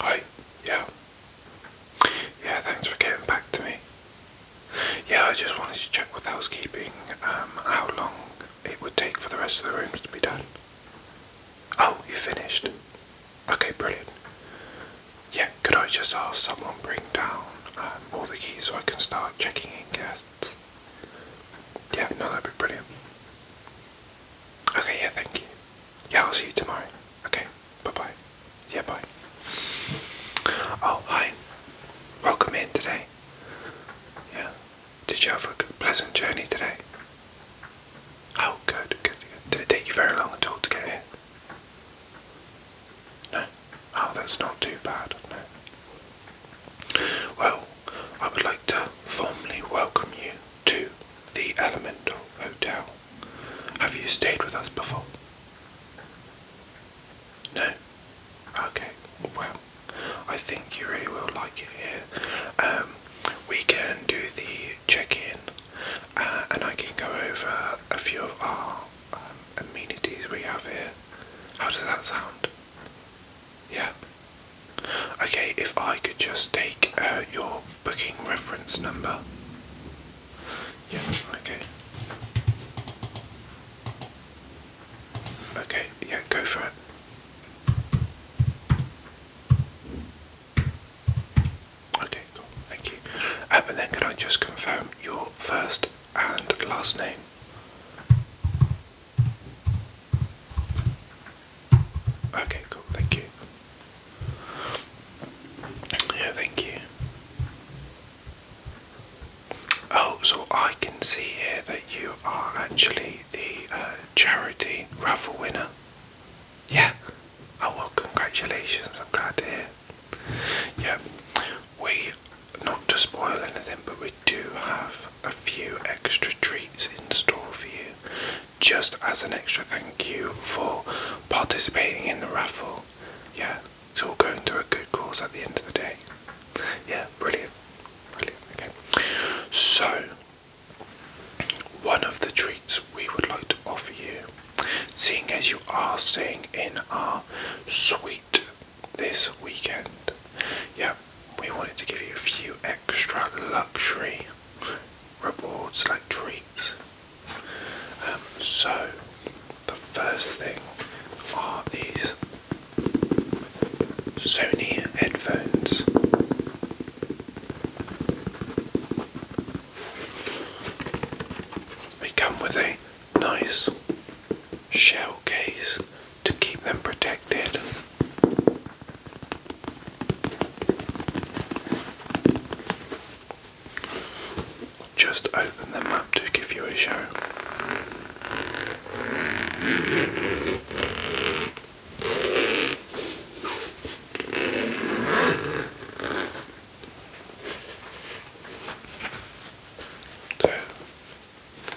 Hi, yeah. Yeah, thanks for getting back to me. Yeah, I just wanted to check with housekeeping um, how long it would take for the rest of the rooms to be done. Oh, you finished? Okay, brilliant. Yeah, could I just ask someone bring down um, all the keys so I can start checking in guests? Yeah, no, that'd be brilliant. Okay, yeah, thank you. Yeah, I'll see you tomorrow. Okay, bye bye. Yeah, bye. Oh, hi. Welcome in today. Yeah. Did you have a pleasant journey today? Oh, good, good, good. Did it take you very long at all to get here? No. Oh, that's not too bad. No. Well, I would like to formally welcome you to the Elemental Hotel. Have you stayed with us before? No? Okay, well, I think you really will like it here. Um, we can do the check-in uh, and I can go over a few of our um, amenities we have here. How does that sound? Yeah, Okay, if I could just take uh, your booking reference number. Yeah, okay. Okay, yeah, go for it. Okay, cool, thank you. Uh, and then can I just confirm your first and last name? Okay, cool, thank you. Yeah, thank you. Oh, so I can see here that you are actually the uh, charity raffle winner. Yeah. Oh well, congratulations. I'm glad to hear. Yeah, we not to spoil anything, but we do have a few extra treats in store for you just as an extra thank you for participating in the raffle. Yeah, it's all going to a good cause at the end of the day. Yeah, brilliant. Brilliant, okay. So, one of the treats we would like to offer you, seeing as you are staying in our sweet this weekend. yeah, we wanted to give you a few extra luxury rewards like treats. Um, so, the first thing are these Sony headphones. They come with a nice shell case to keep them protected. Just open them up to give you a show. So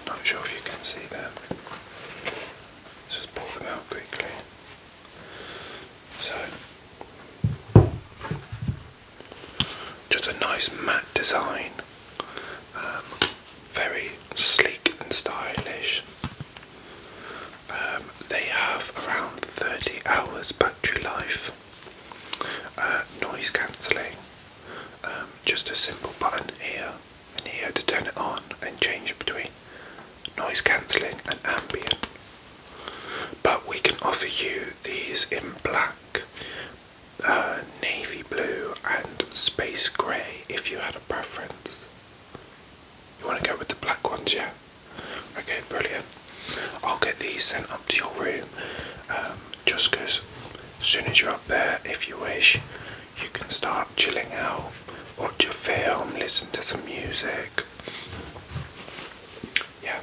not sure if you can see that. just pull them out quickly. So, just a nice matte design. Um, very sleek and stylish. Um, they have around 30 hours battery life. Uh, noise cancelling. Um, just a simple button here and here to turn it on and change between noise cancelling and ambient. But we can offer you these in black, uh, navy blue and space grey if you had a preference. You want to go with the black ones, yeah? Okay, brilliant. I'll get these sent up to your room. Um, just because as soon as you're up there, if you wish, you can start chilling out, watch a film, listen to some music. Yeah.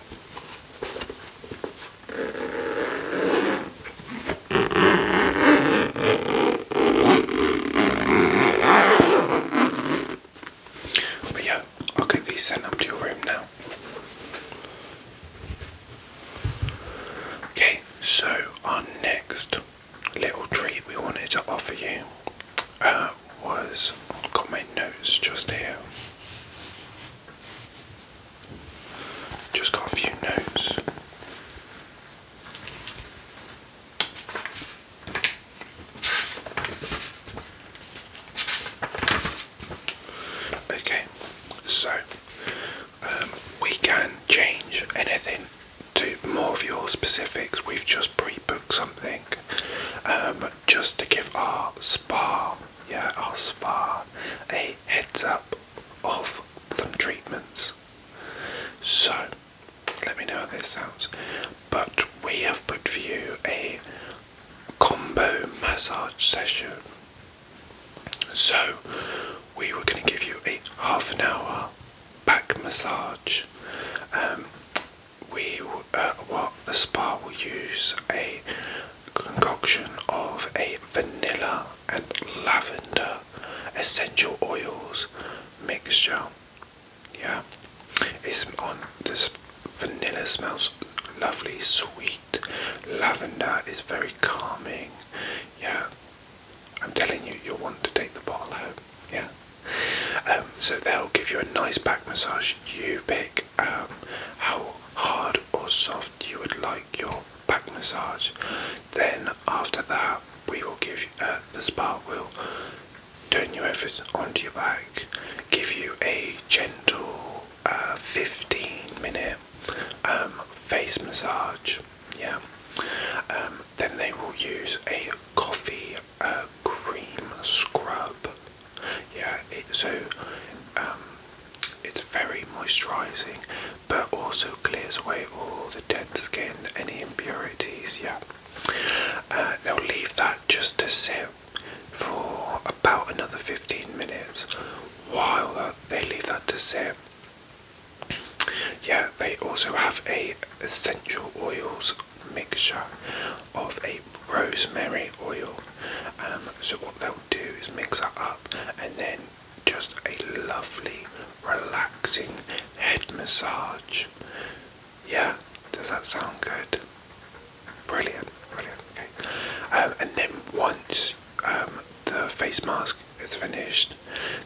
But yeah, I'll get these sent up to your room now. Okay, so our next little treat we wanted to offer you uh, was. I've got my notes just here. Just got a few notes. Okay, so um, we can change anything to more of your specifics. We've just pre-booked something um, just to give our spa, yeah, our spa, a heads up of some treatments. So let me know how this sounds. But we have put for you a combo massage session so, we were going to give you a half an hour back massage. Um, we, uh, what the spa will use a concoction of a vanilla and lavender essential oils mixture. Yeah, it's on this vanilla smells lovely, sweet, Lavender is very calming. Yeah. I'm telling you, you'll want to take the bottle home. Yeah. Um, so they'll give you a nice back massage. You pick um, how hard or soft you would like your back massage. Then after that, we will give you, uh, the spa we will turn you over onto your back, give you a gentle uh, 15 minute um, face massage. Yeah. Um, then they will use a coffee uh, cream scrub. Yeah. It, so um, it's very moisturising, but also clears away all the dead skin, any impurities. Yeah. Uh, they'll leave that just to sit for about another 15 minutes. While they leave that to sit, yeah, they also have a essential oils mixture of a rosemary oil. Um, so what they'll do is mix that up and then just a lovely relaxing head massage. Yeah, does that sound good? Brilliant, brilliant. Okay. Um, and then once um, the face mask is finished,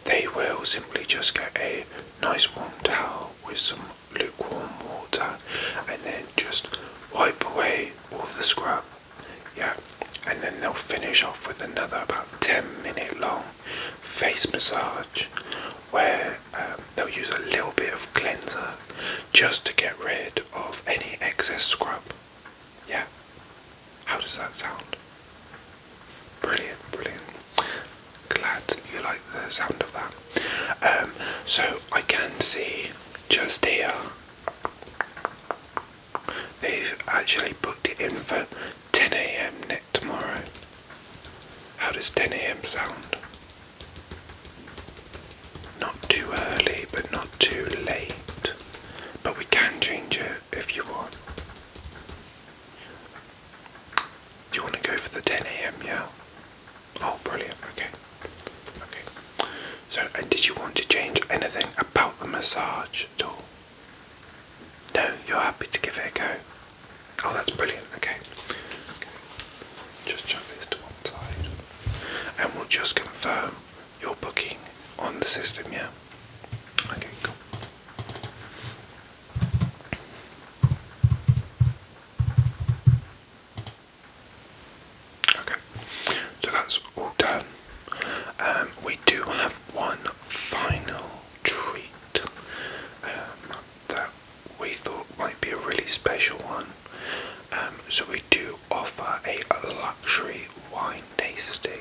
they will simply just get a nice warm towel with some lukewarm water and then just wipe away all the scrub. Yeah, and then they'll finish off with another about 10 minute long face massage where um, they'll use a little bit of cleanser just to get rid of any excess scrub. Yeah. How does that sound? Brilliant, brilliant. Glad you like the sound of that. Um, so I can see just here they've actually booked it in for 10 a.m. next tomorrow. How does 10 a.m. sound? Not too early, but not too late, but we can change it if you want. Do you want to go for the 10 a.m., yeah? Oh, brilliant, okay. Okay. So, and did you want to change anything about the massage at all? No, you're happy to give it a go. Oh, that's brilliant, okay. okay. Just jump this to one side. And we'll just confirm your booking on the system, yeah? Okay, cool. Okay, so that's all done. Um, we do have one final treat um, that we thought might be a really special one. Um, so we do offer a luxury wine tasting,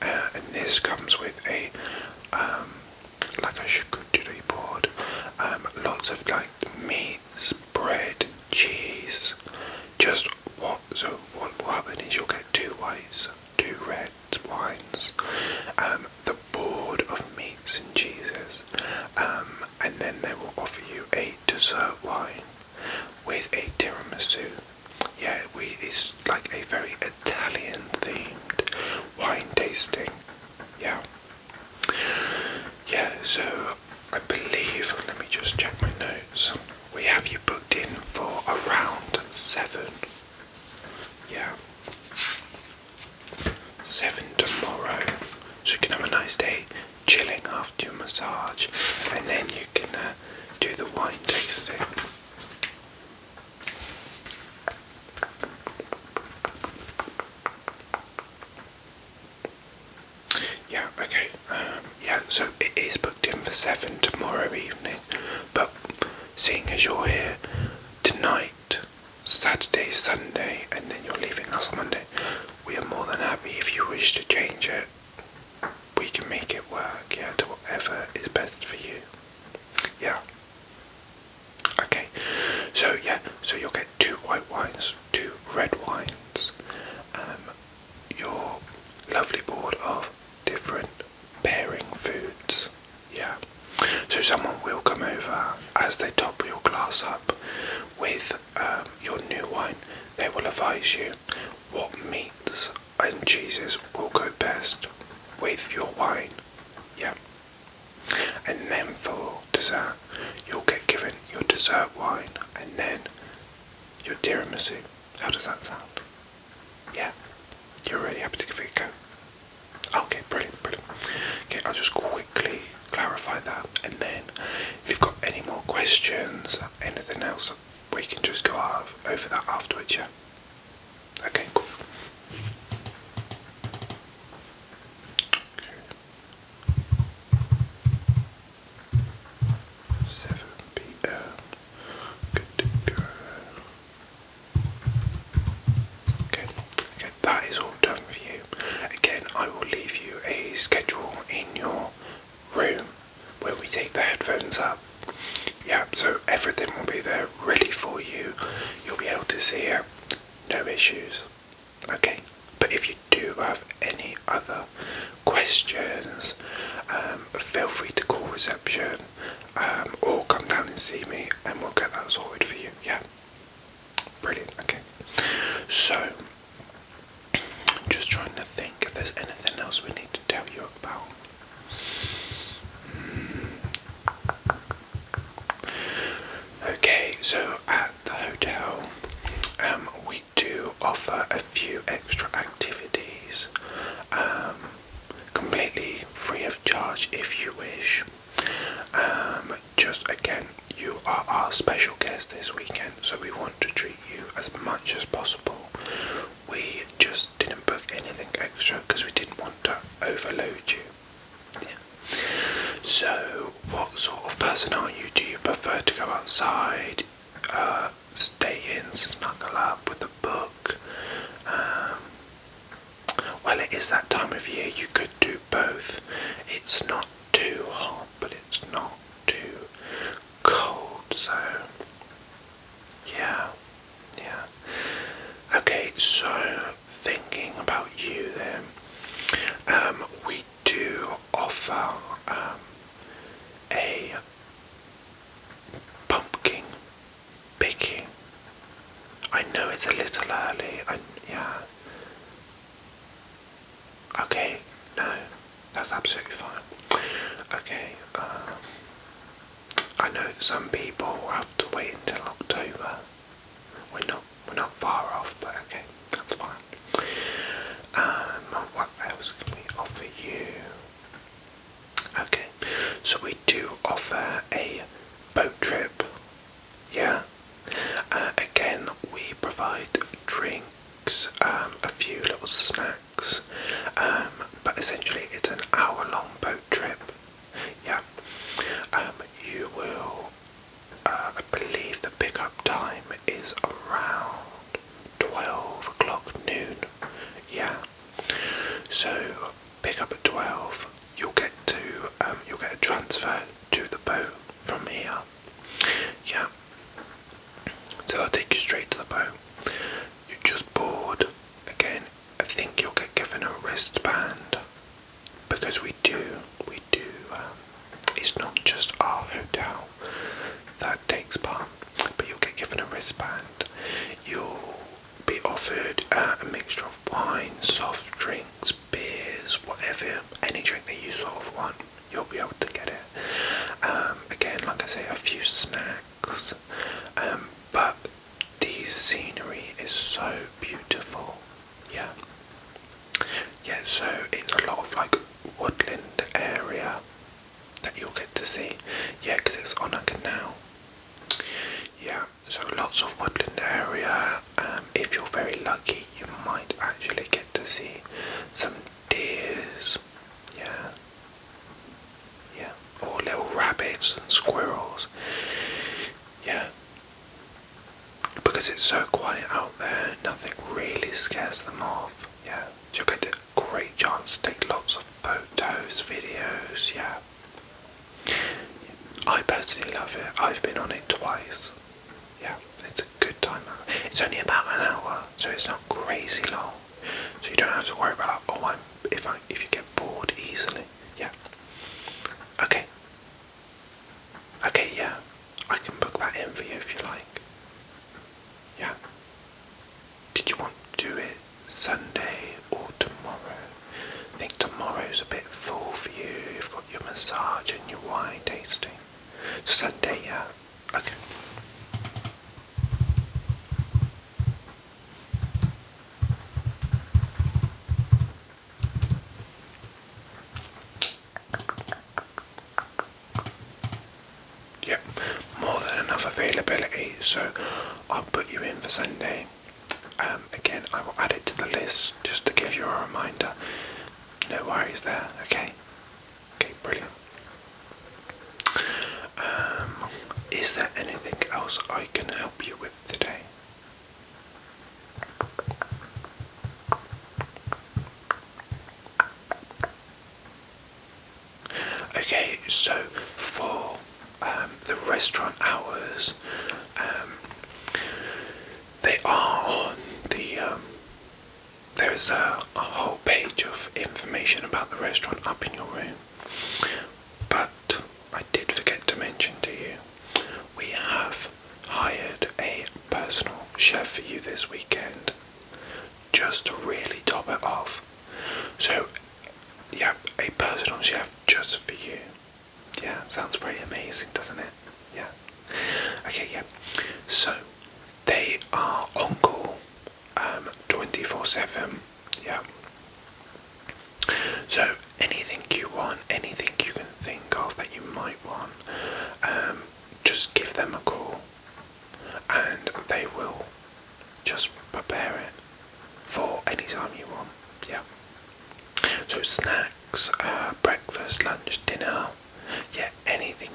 uh, and this comes with a um, like a charcuterie board, um, lots of like meats, bread, cheese. Just what? So what will happen you'll get two whites, two red wines, um, the board of meats and cheeses, um, and then they will offer you a dessert wine with a tiramisu. Yeah, we it's like a very Italian themed wine tasting. Yeah. Yeah, so I believe let me just check my notes. We have you booked in for around seven. Yeah. Seven tomorrow. So you can have a nice day chilling after your massage, and then you can uh, do the wine tasting. Yeah, okay. Um, yeah, so it is booked in for 7 tomorrow evening, but seeing as you're here tonight, Saturday, Sunday, and then you're leaving us on Monday, we are more than happy if you wish to change it we can make it work, yeah, to whatever is best for you. Yeah. Okay. So yeah, so you'll get two white wines, two red wines, um, your lovely board of different pairing foods. Yeah. So someone will come over as they top your glass up with um, your new wine, they will advise you what meats and cheeses will go best with your wine. Yeah. And then for dessert, you'll get given your dessert wine and then your tiramisu. How does that sound? Yeah. You're really happy to give it a go. Okay, brilliant, brilliant. Okay, I'll just quickly clarify that and then if you've got any more questions, anything else, we can just go over that afterwards, yeah? Okay, cool. 7 p.m. Good to Okay, okay, that is all done for you. Again, I will leave you a schedule in your room where we take the headphones up. Yeah, so everything will be there ready for you. You'll be able to see it, no issues. Okay, but if you do have any other questions, um, feel free to call reception um, or come down and see me and we'll get that sorted for you. Yeah, brilliant. Okay, so just trying to think if there's anything else we need to tell you about. Okay, so at the hotel, um, we do offer a few extra activities, um, completely free of charge if you wish. Um, just again, you are our special guest this weekend, so we want to treat you as much as possible. We just didn't book anything extra because we didn't want to overload you. So, what sort of person are you? Do you prefer to go outside, uh, stay in, snuggle up with a book? Um, well, it is that time of year. You could do both. It's not too hot, but it's not too cold, so yeah, yeah. Okay, so thinking about you then, um, we do offer um, a pumpkin picking. I know it's a little early, and yeah, Okay, no, that's absolutely fine. Okay, um, I know some people have to wait until October. We're not we're not far off, but okay, that's fine. Um, what else can we offer you? Okay, so we do offer a boat trip. Yeah. Uh, again, we provide drink. Um, a few little snacks, um, but essentially it's an hour long boat trip. Yeah, um, you will, uh, I believe the pickup time is around 12 o'clock noon. Yeah, so pick up at 12, you'll get to, you'll get a transfer to the boat from here. Yeah, so i will take you straight to the boat. You are just bored Again, I think you'll get given a wristband because we do, we do. Um, it's not just our hotel that takes part, but you'll get given a wristband. You'll be offered uh, a mixture of wine, soft drinks, beers, whatever, any drink that you sort of want you'll be able to get it. Um, again, like I say, a few snacks, um, but the scenery is so beautiful. Yeah, yeah. So in a lot of like woodland area that you'll get to see. Yeah, because it's on a canal. Yeah, so lots of woodland area. Um, if you're very lucky, you might actually get to see some deers, yeah, yeah, or little rabbits and squirrels, yeah. Because it's so quiet out there, nothing really scares them off, yeah. You'll get a great chance to take lots of photos, videos, yeah. I personally love it. I've been on it twice yeah, it's a good time. It's only about an hour, so it's not crazy long. So you don't have to worry about like, oh, i if I if you get bored easily. Yeah. Okay. Okay, yeah, I can book that in for you if you like. Yeah. Did you want to do it Sunday or tomorrow? I think tomorrow's a bit full for you. You've got your massage and your wine tasting. Sunday, yeah. Okay. Yep, more than enough availability, so I'll put you in for Sunday. Um, again, I will add it to the list just to give you a reminder. No worries there, okay? Okay, brilliant. Um, is there anything else I can help you with today? Okay, so for um, the restaurant hours, um, they are on the there is a, whole page of information about the restaurant up in your room. But I did forget to mention to you, we have hired a personal chef for you this weekend just to really top it off. So, you have a personal chef just for you. Yeah, sounds pretty amazing, doesn't it? Yeah. Okay, yeah. So they are on call 24/7. Yeah. So anything you want, anything you can think of that you might want, um, just give them a call and they will just prepare it for any time you want. Yeah. So snacks, uh, breakfast, lunch, dinner, yeah, anything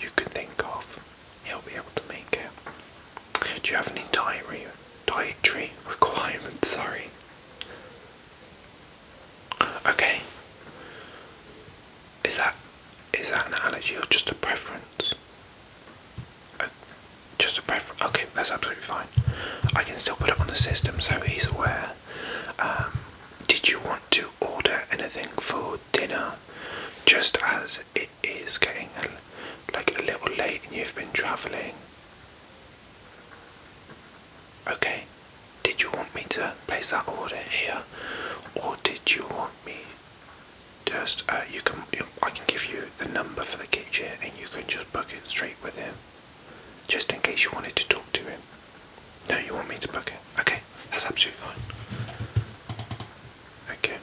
you can think of, he'll be able to make it. Do you have any dietary, dietary requirements? Sorry. Okay. Is that is that an allergy or just a preference? Uh, just a preference. Okay, that's absolutely fine. I can still put it on the system so he's aware um, did you want to order anything for dinner? Just as it is getting a, like a little late and you've been travelling. Okay. Did you want me to place that order here, or did you want me? Just uh, you can. I can give you the number for the kitchen, and you can just book it straight with him, just in case you wanted to talk to him. No, you want me to book it? Okay, that's absolutely fine. Okay,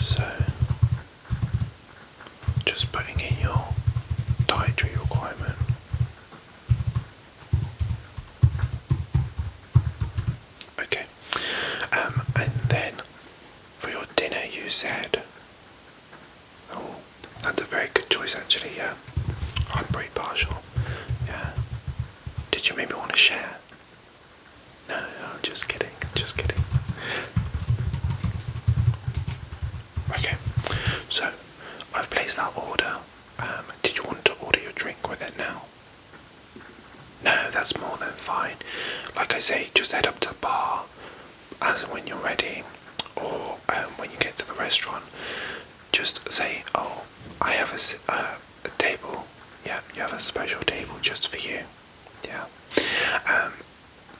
so just putting in your dietary requirement. Okay, um, and then for your dinner, you said. Oh, that's a very good choice, actually. Yeah, I'm pretty partial yeah. Did you maybe want to share? No, no, no, just kidding, just kidding. Okay, so I've placed that order. Um, did you want to order your drink with it now? No, that's more than fine. Like I say, just head up to the bar as when you're ready, or um, when you get to the restaurant, just say, oh, I have uh, a, table. Yeah, you have a special table just for you. Yeah. Um,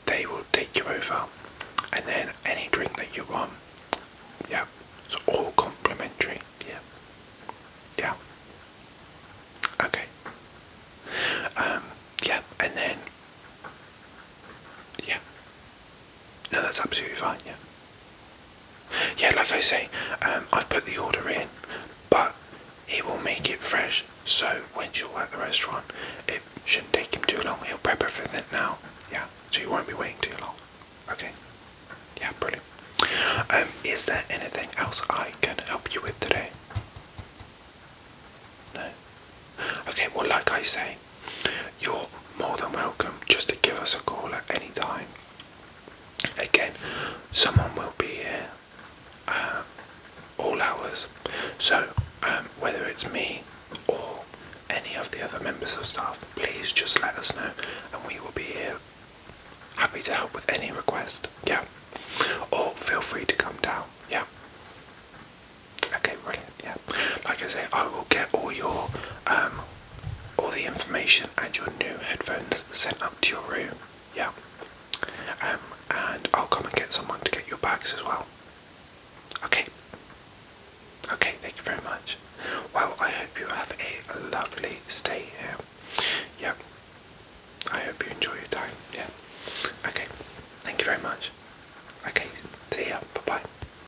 they will take you over, and then any drink that you want. Yeah, it's all complimentary. Yeah. Yeah. Okay. Um. Yeah, and then. Yeah. No, that's absolutely fine, yeah. Yeah, like I say, um, I've put the order in, but he will make it fresh. So when you're at the restaurant, it shouldn't take him too long. He'll prep everything now. Yeah, so you won't be waiting too long. Okay. Yeah, brilliant. Um, is there anything else I can help you with today? No. Okay. Well, like I say, you're more than welcome just to give us a call at any time. Again, someone will be here uh, all hours. So, um, whether it's me or any of the other members of staff, please just let us know and we will be here happy to help with any request. Yeah. Or feel free to come down. Yeah. Okay, brilliant. Yeah. Like I say, I will get all your um, all the information and your new headphones sent up to your room. Yeah. Um, and I'll come and get someone to get your bags as well. Okay. Okay, thank you very much. Well, I hope you have a lovely stay here. Yeah. I hope you enjoy your time. Yeah. Okay. Thank you very much. Okay. See ya. Bye bye.